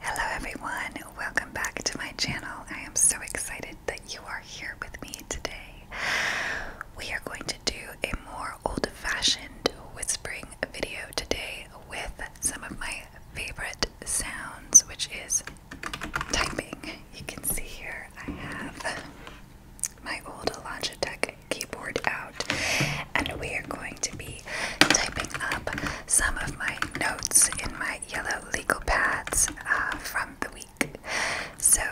Hello everyone, welcome back to my channel. I am so excited that you are here with me today. We are going to do a more old-fashioned whispering video today with some of my favorite sounds, which is typing. You can see here I have my old Logitech Keyboard out, and we are going to be typing up some of my notes in my yellow legal pads uh, from the week. So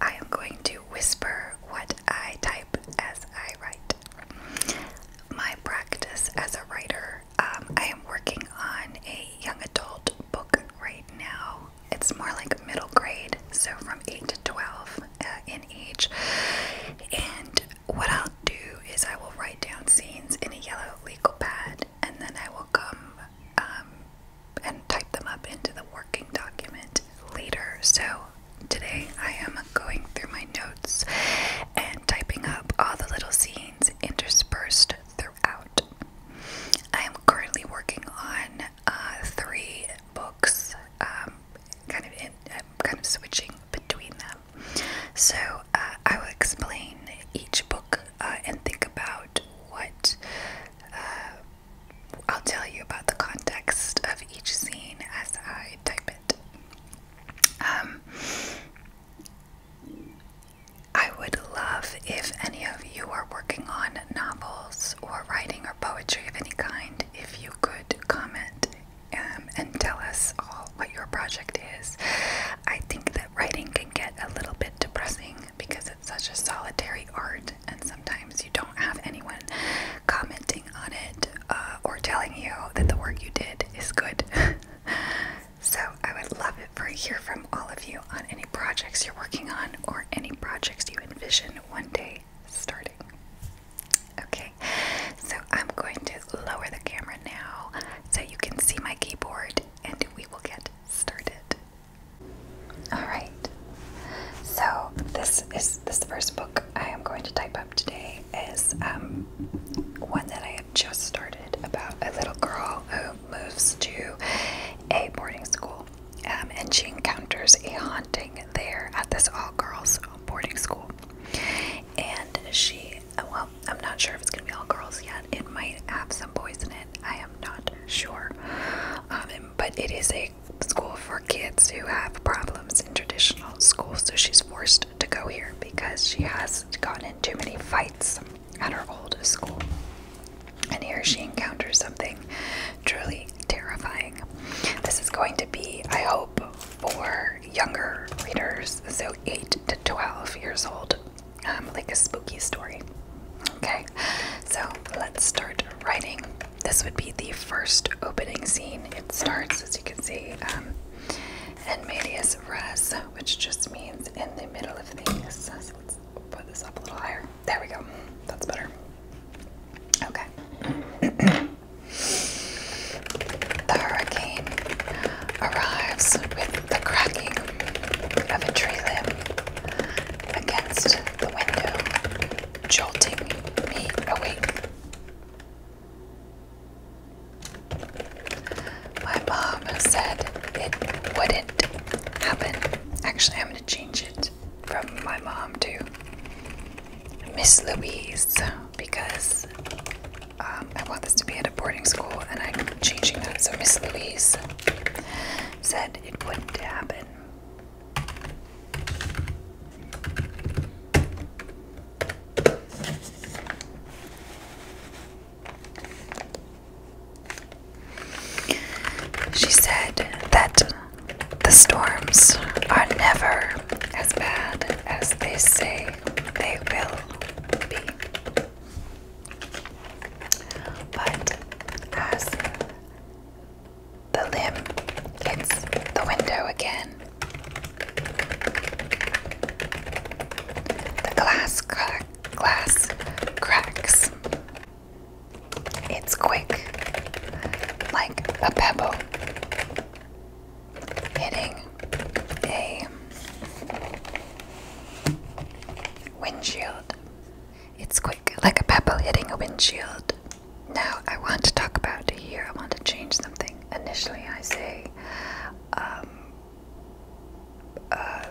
I am going to whisper what I type as I write. My practice as a writer, um, I am working on a young adult book right now. It's more like middle grade, so from 8 to 12 in each. And what I'll do is I will write down scenes in a yellow legal pad, and then I will come um, and type them up into the working document later. So today I am going through my notes and typing up all the little scenes interspersed throughout. I am currently working on uh, three books um, kind of I'm um, kind of switching between them. So uh, I will explain each book uh, and think about what uh, I'll tell you about the context of each scene as I type it. Um, I would love if any of you are working on novels or writing or poetry of any kind, if you could comment um, and tell us all what your project is. I think that writing can get a little bit depressing because it's such a solitary art, and sometimes you don't have anyone commenting on it uh, or telling you that the work you did is good. so I would love it for hear from all of you on any projects you're working on or any projects you envision one day starting. Okay, so I'm going to lower the camera now so you can see my keyboard and we will get started. Alright, so this is this first book I am going to type up today is um, one that I have just started about a little girl who moves to a boarding school um, and she encounters a haunting there at this all girls boarding school. And she, well, I'm not sure if it's going to be all girls yet. It might have some boys in it. I am not sure. Um, but it is a school for kids who have problems in traditional school. So she's forced to go here because she has gotten in too many fights at her old school. And here she encounters something truly terrifying. This is going to be, I hope, for younger readers, so 8 to 12 years old, um, like a spooky story. Okay, so let's start writing. This would be the first opening scene. It starts, as you can see, um, in medias res, which just means in the middle of things. let's put this up a little higher. There we go. That's better. Okay. the hurricane arrives with the cracking of a tree limb against the window, jolting me awake. My mom said it wouldn't happen. Actually, I'm to change it from my mom to Miss Louise because um, I want this to be at a boarding school and I'm changing that. So Miss Louise said it wouldn't happen. She said that the storms are never as bad as they say they will be. But as the limb hits the window again, the glass crack glass cracks. It's quick, like a pebble hitting a windshield. It's quick, like a pebble hitting a windshield. Now, I want to talk about here, I want to change something. Initially, I say, um, uh,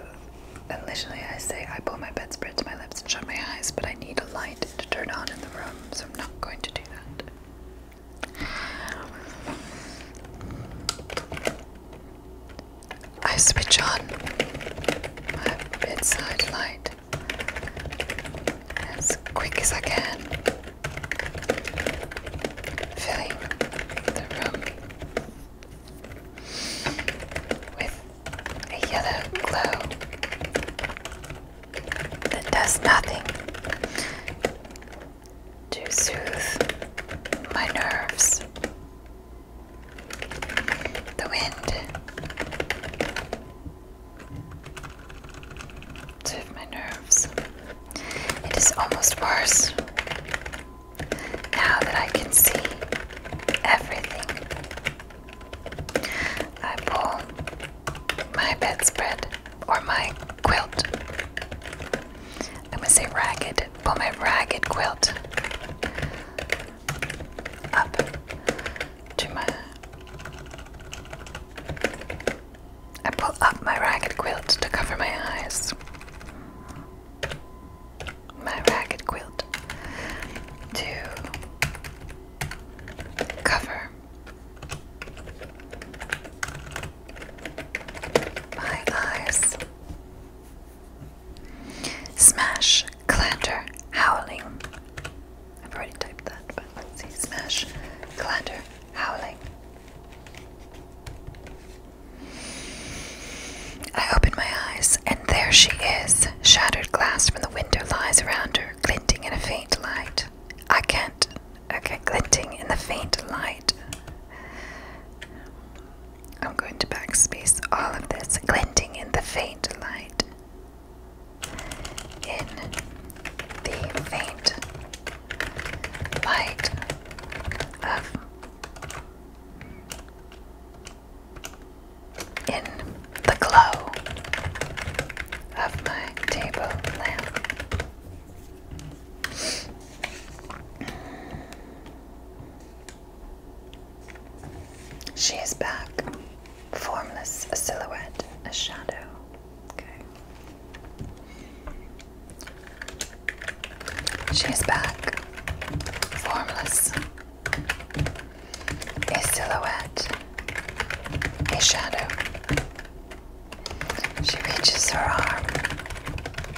initially I say I pull my bedspread to my lips and shut my eyes, but I need a light to turn on in the room, I switch on my bedside light as quick as I can, filling the room with a yellow glow that does nothing to soothe my nerves. The wind soothes my nerves. It is almost worse now that I can see everything. I pull my bedspread or my quilt. I'm gonna say ragged. Pull my ragged quilt up to my. I pull up my ragged quilt to cover my eyes. My ragged quilt to cover my eyes. Smash, clatter, howling. I've already typed that, but let's see. Smash, clatter, howling. I open my eyes, and there she is. Shattered glass from the window lies around her, glinting in a faint light. I can't. Okay, glinting in the faint light. I'm going to backspace all of this. Glinting in the faint light. In the faint light of in the glow of my table lamp. She is back, formless, a silhouette, a shadow. Okay. She is back, formless, a silhouette, a shadow. She reaches her arm,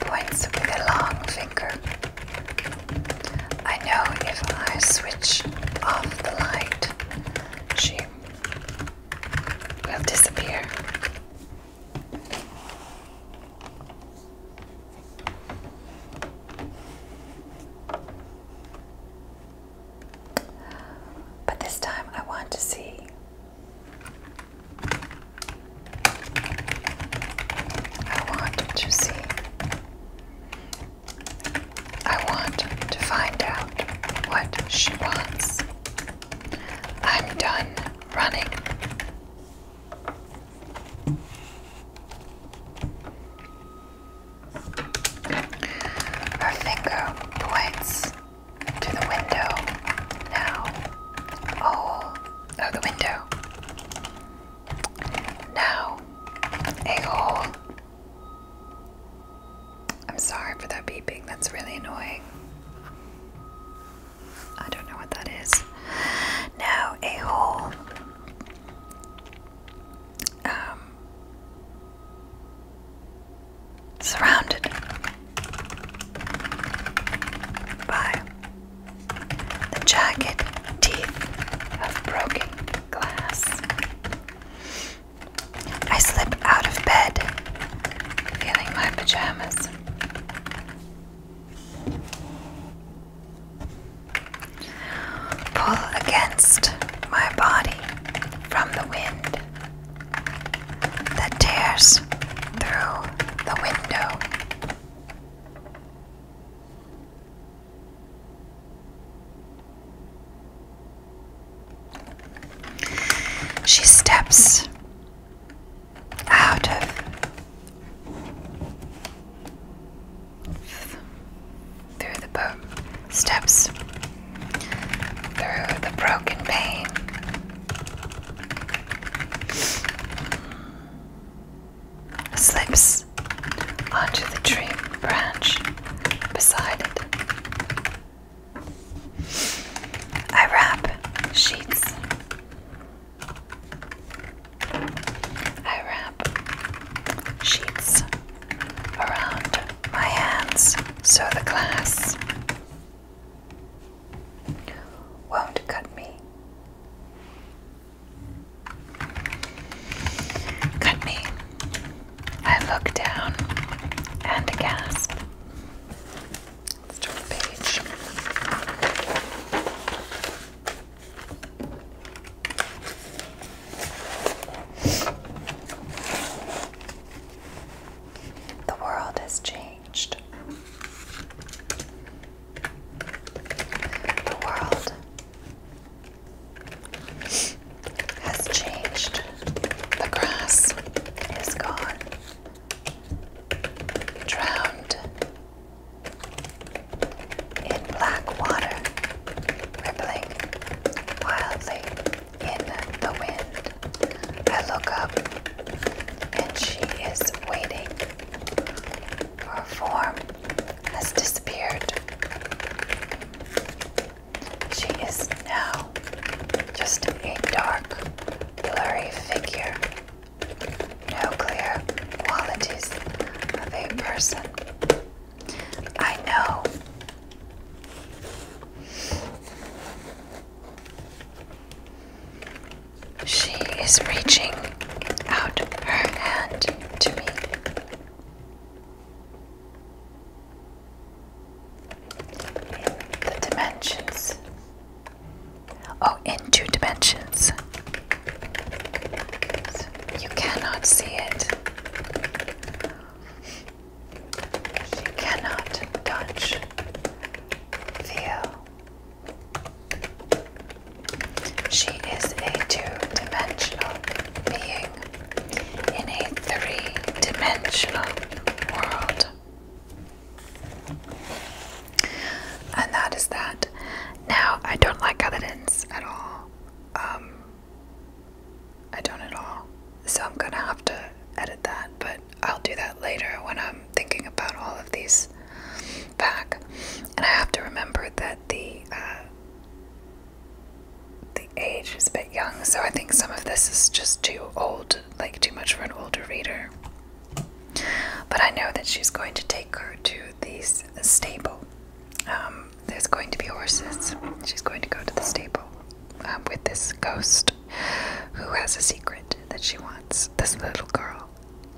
points with a long finger. I know if I switch off the light, she will disappear. But this time I want to see. I want to see. I want to find out what she wants. I'm done running. Her finger points to the window now. Oh, oh, the window. Now, a hole. I'm sorry for that beeping, that's really annoying. I don't know what that is. Now, a hole um, surrounded by the jagged teeth of broken glass. I slip out of bed, feeling my pajamas. Pull against my body from the wind that tears through the window. She steps out of through the boat steps, through the broken pane. Slips onto the tree branch beside it. I wrap sheets. I wrap sheets around my hands so the glass won't cut me. Cut me. I look down and gasp. turn page. The world has changed. The world has changed. The grass is gone, drowned in black water, rippling wildly in the wind. I look up, and she is waiting. Her form has disappeared. She is now just a dark, blurry figure. No clear qualities of a person. I know. She is reaching out her hand to me. In the dimensions. Oh, in two dimensions. You cannot see it. You cannot touch, feel. She is a two-dimensional being in a three-dimensional world. And that is that. Now, I don't like how that at all. Um, I don't at all. So I'm gonna have to edit that, but I'll do that later when I'm thinking about all of these back. And I have to remember that the uh, the age is a bit young, so I think some of this is just too old, like too much for an older reader. But I know that she's going to take her to the stable. Um, there's going to be horses. She's going to go to the stable um, with this ghost who has a secret that she wants this little girl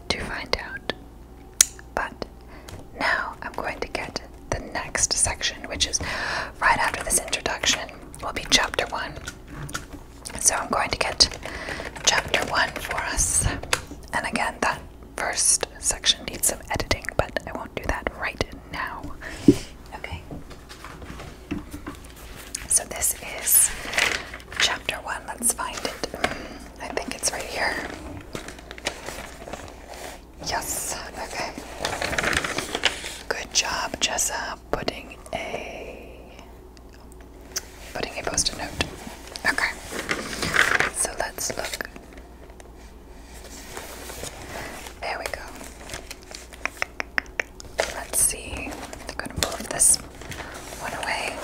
to find out. But now I'm going to get the next section, which is right after this introduction, will be chapter one. So I'm going to get chapter one for us. And again, that first section needs some editing, but I won't do that right now. Okay. So this is chapter one. Let's find it. I think it's right here. Yes. Okay. Good job, Jessa, putting a putting a post-it note. Okay. So let's look. There we go. Let's see. I'm going to move this one away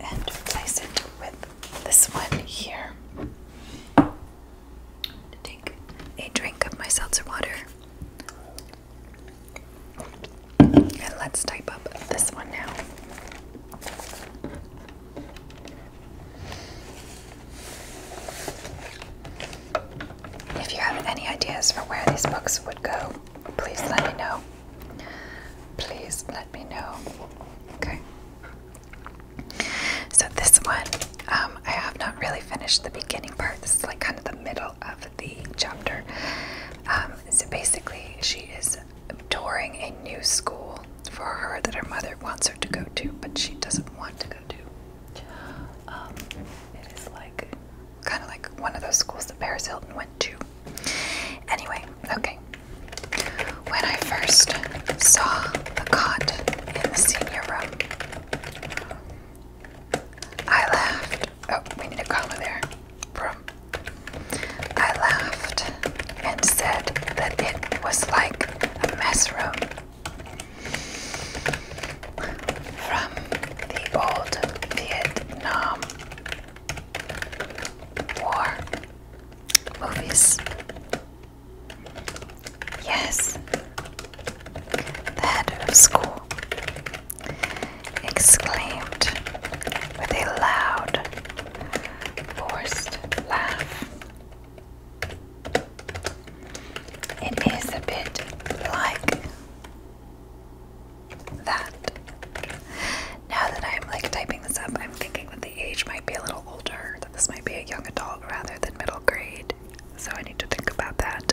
and replace it with this one here. to take a drink of my seltzer water. And let's type up this one now. If you have any ideas for where these books would go, please let me know. Please let me know. Okay. So, this one, um, I have not really finished the beginning part. This is like kind of the middle of the chapter. Um, so, basically, she is touring a new school for her that her mother wants her to go to, but she doesn't want to go to. Um, it is like kind of like one of those schools that Paris Hilton went to. Anyway, okay. When I first saw the cot in the senior room, I laughed. Oh, we need a comma there. From I laughed and said that it was like a mess room. From the old Vietnam War movies. Yes, the head of school exclaimed with a loud forced laugh. It is a bit like that. Now that I'm like typing this up, I'm thinking that the age might be a little older, that this might be a young adult rather than middle grade. So I need to think about that.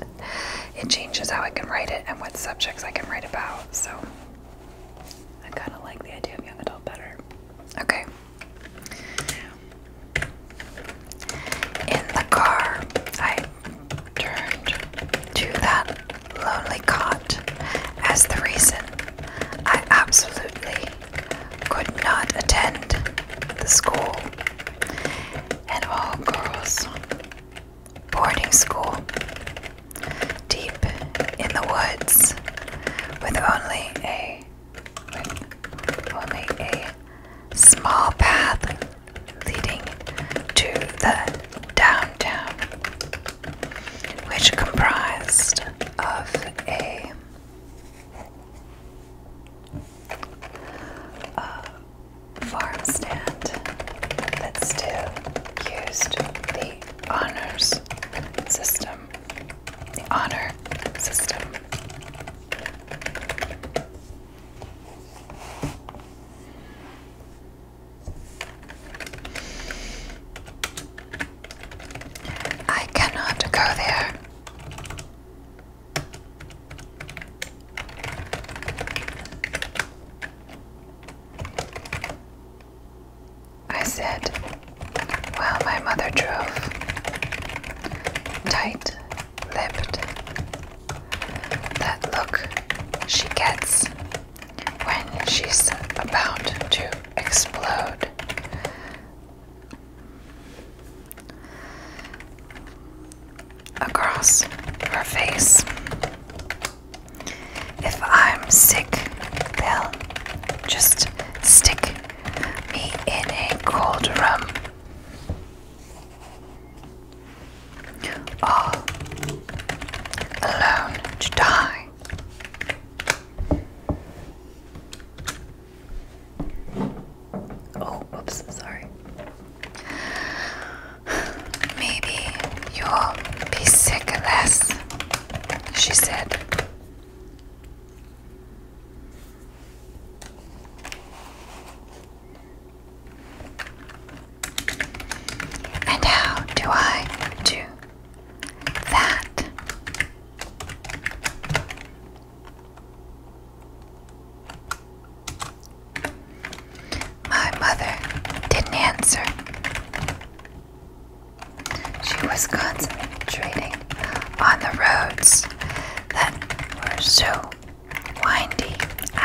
It changes how I can write it and what subjects I can write about. So I kind of like the idea of young adult better. Okay. In the car, I turned to that lonely cot as the reason I absolutely could not attend the school and all girls boarding school deep in the woods, with only a only a small path leading to the downtown, which comprised of a farm stand that still used the honors system. The honor system. I cannot go there. I said, while my mother drove, tight lipped. That look she gets when she's about to explode. Across her face. If I'm sick, they'll just stick me in a cold room. All alone to die. Oh, oops, sorry. Maybe you'll be sick less she said. And how do I do that? My mother didn't answer. She was concentrating on the roads that were so windy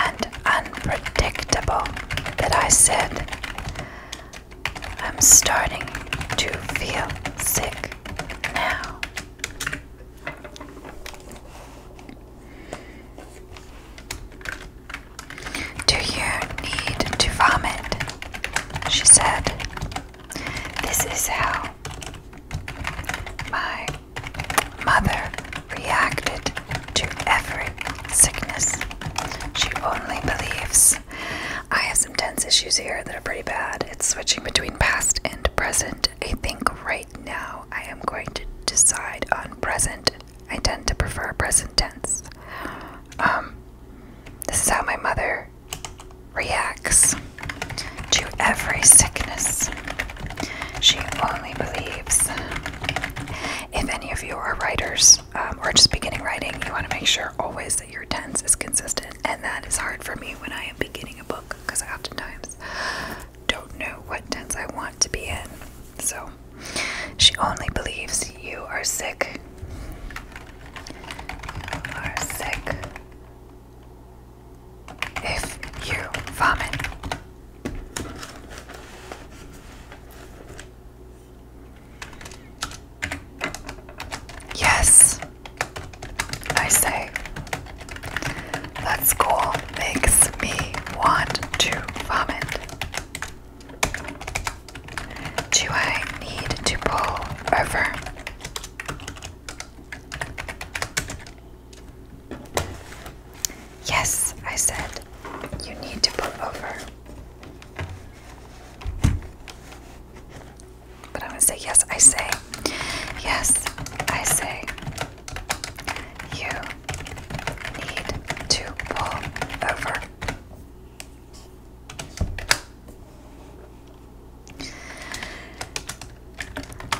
and unpredictable that I said, I'm starting to feel sick now. Do you need to vomit? She said. This is how my mother reacted to every sickness. She only believes. I have some tense issues here that are pretty bad. It's switching between past and present. I think right now I am going to decide on present. I tend to prefer present tense. Um, this is how my mother reacts to every sickness. She only believes. If any of you are writers um, or just beginning writing, you want to make sure always that your tense is consistent, and that is hard for me when I am beginning a book because I oftentimes don't know what tense I want to be in. So she only believes you are sick. are sick. If you vomit. Yes, I say. That school makes me want to vomit. Do I need to pull over? Yes, I said, you need to pull over. But I'm gonna say, yes, I say, yes, I say, you need to pull over.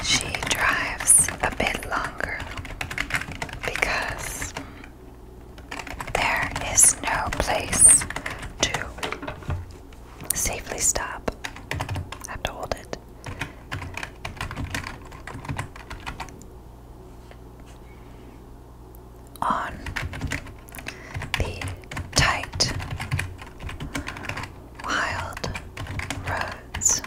She drives a bit longer because there is no place to safely stop. I have to hold it on the tight, wild roads.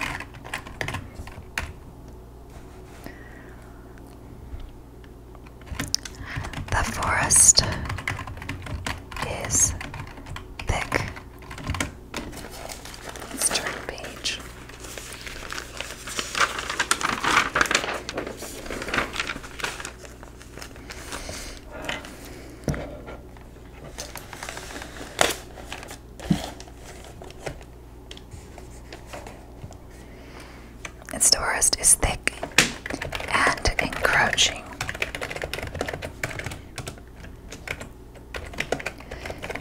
The forest is thick. turn page. Its forest is thick and encroaching.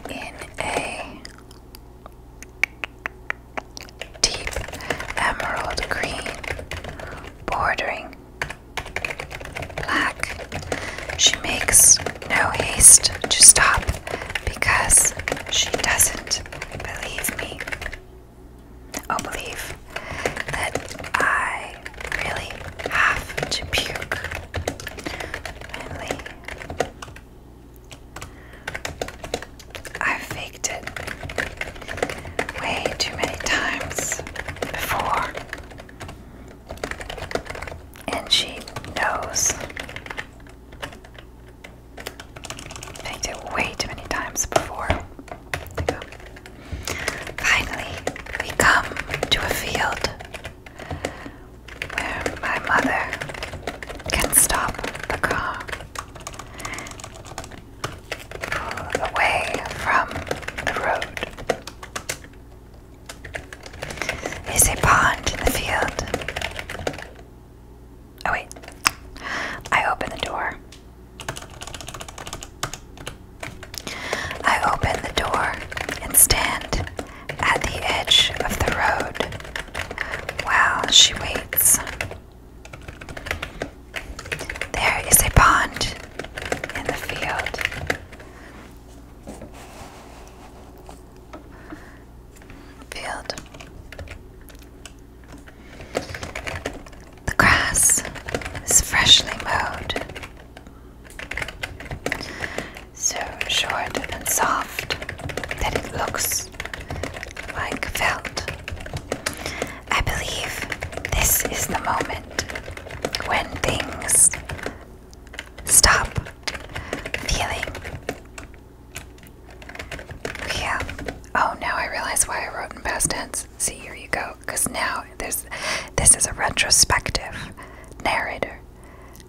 In a deep emerald green, bordering black. She makes no haste to stop because she doesn't believe me. Oh, believe that I really have to puke. Finally, I have faked it way too many times before, and she knows. Faked it way too many times before. Finally, we come to a field where my mother can stop the car pull away from the road. Is a pond in the field. Oh, wait. I open the door. I open the door and stand at the edge of the road well, she waits. There is a pond in the field. Field. The grass is freshly mowed. So short and soft that it looks is like felt. I believe this is the moment when things stop feeling real. Oh, now I realize why I wrote in past tense. See, here you go. Because now there's this is a retrospective narrator,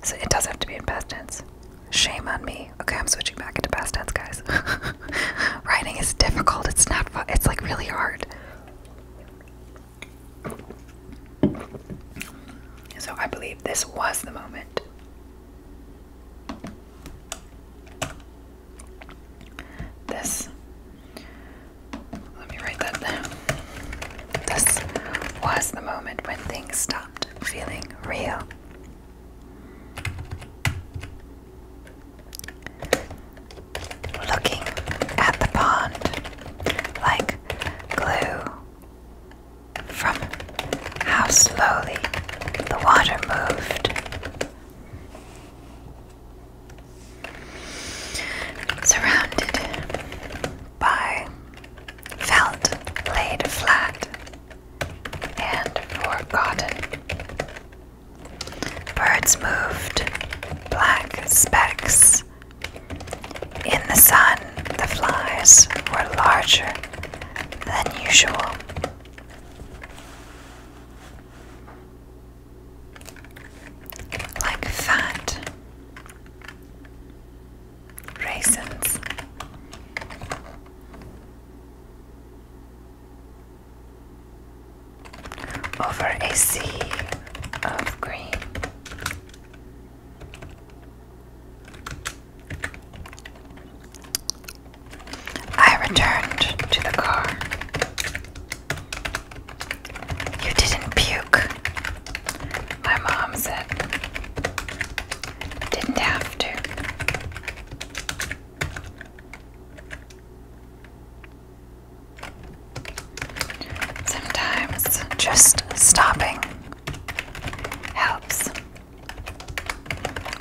so it does have to be in past tense. Shame on me. Okay, I'm switching back into past tense, guys. Writing is difficult. It's not fun. It's like really hard. So I believe this was the moment. This. Let me write that down. This was the moment when things stopped feeling real. Looking at the pond like glue from how slowly the water moved. Surrounded by felt laid flat and forgotten. Birds moved, black specks. In the sun, the flies were larger than usual. Like that raisins. Over a sea of green, I returned to the car. You didn't puke, my mom said. Didn't have to. Sometimes just stopping helps.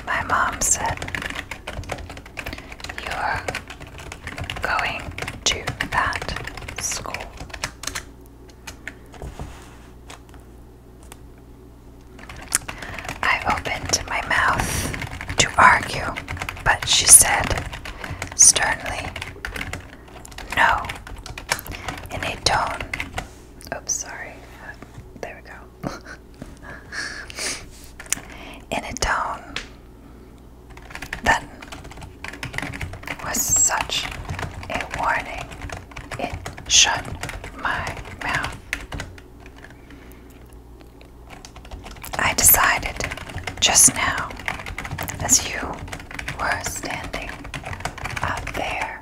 My mom said, You're going to that school. I opened my mouth to argue, but she said sternly, No, in a tone. Oops, sorry. there we go. in a tone that was such a warning it shut my mouth. I decided just now, as you were standing out there,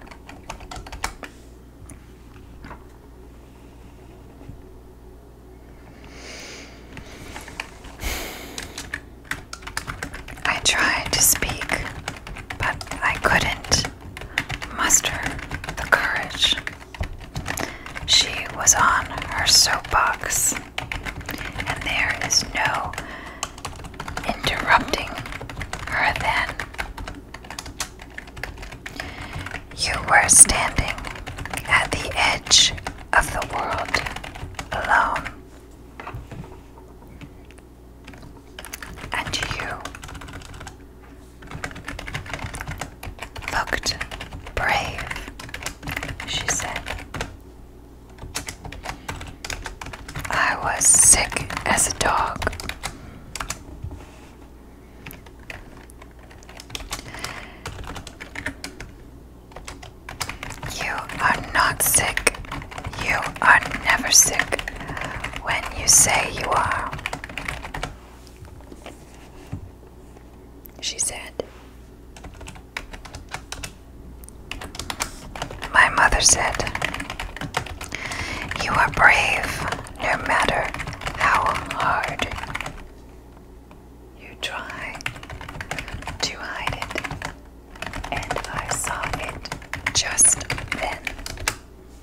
I tried to speak but I couldn't muster the courage. She was on her soapbox, and there is no interrupting her then. You were standing at the edge of the world alone and you looked brave, she said. I was sick as a dog. You are not sick you are never sick when you say you are, she said. My mother said, You are brave no matter how hard you try to hide it, and I saw it just then.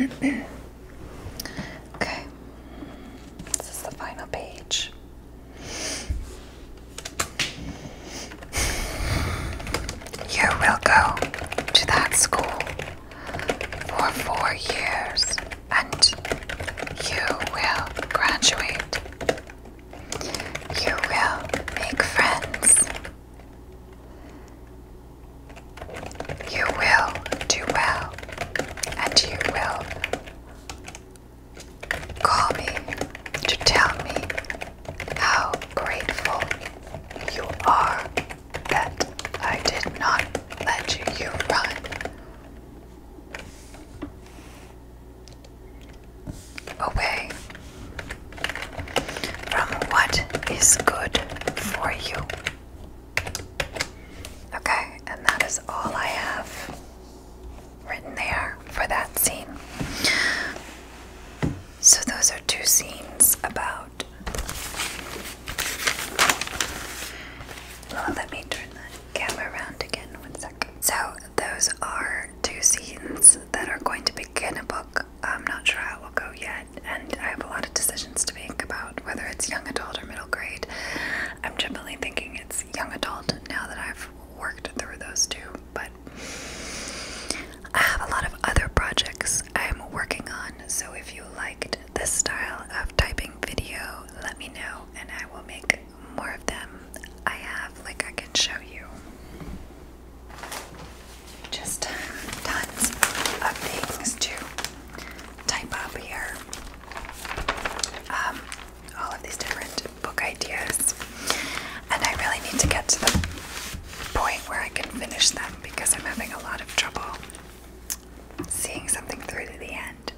okay, this is the final page. You will go to that school for four years and you will graduate. You will make friends you will do well, and you will call me to tell me how grateful you are that I did not let you run away from what is good for you. Okay, and that is all I have written there for that scene. So, those are two scenes about. Well, let me turn the camera around again one second. So, those are two scenes that are going to begin a book I'm not sure how it will go yet, and I have a lot of decisions to make about whether it's young adult or middle grade. I'm generally thinking it's young adult now that I've worked through those two, but I have a lot of other projects I'm working on, so if you liked this style of typing video, let me know and I will make more of them. I have, like, I can show you. Just tons of things to type up here. Um, all of these different book ideas. And I really need to get to the point where I can finish them because I'm having a lot of trouble seeing something through to the end.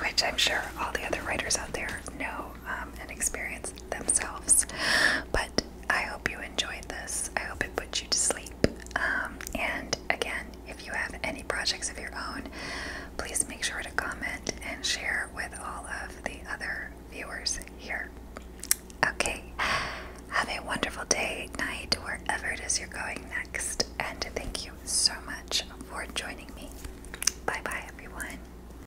Which I'm sure all the other writers out there know um, and experience themselves But I hope you enjoyed this. I hope it put you to sleep. Um, and again, if you have any projects of your own, please make sure to comment and share with all of the other viewers here. Okay, have a wonderful day, night, wherever it is you're going next. And thank you so much for joining me. Bye bye, everyone.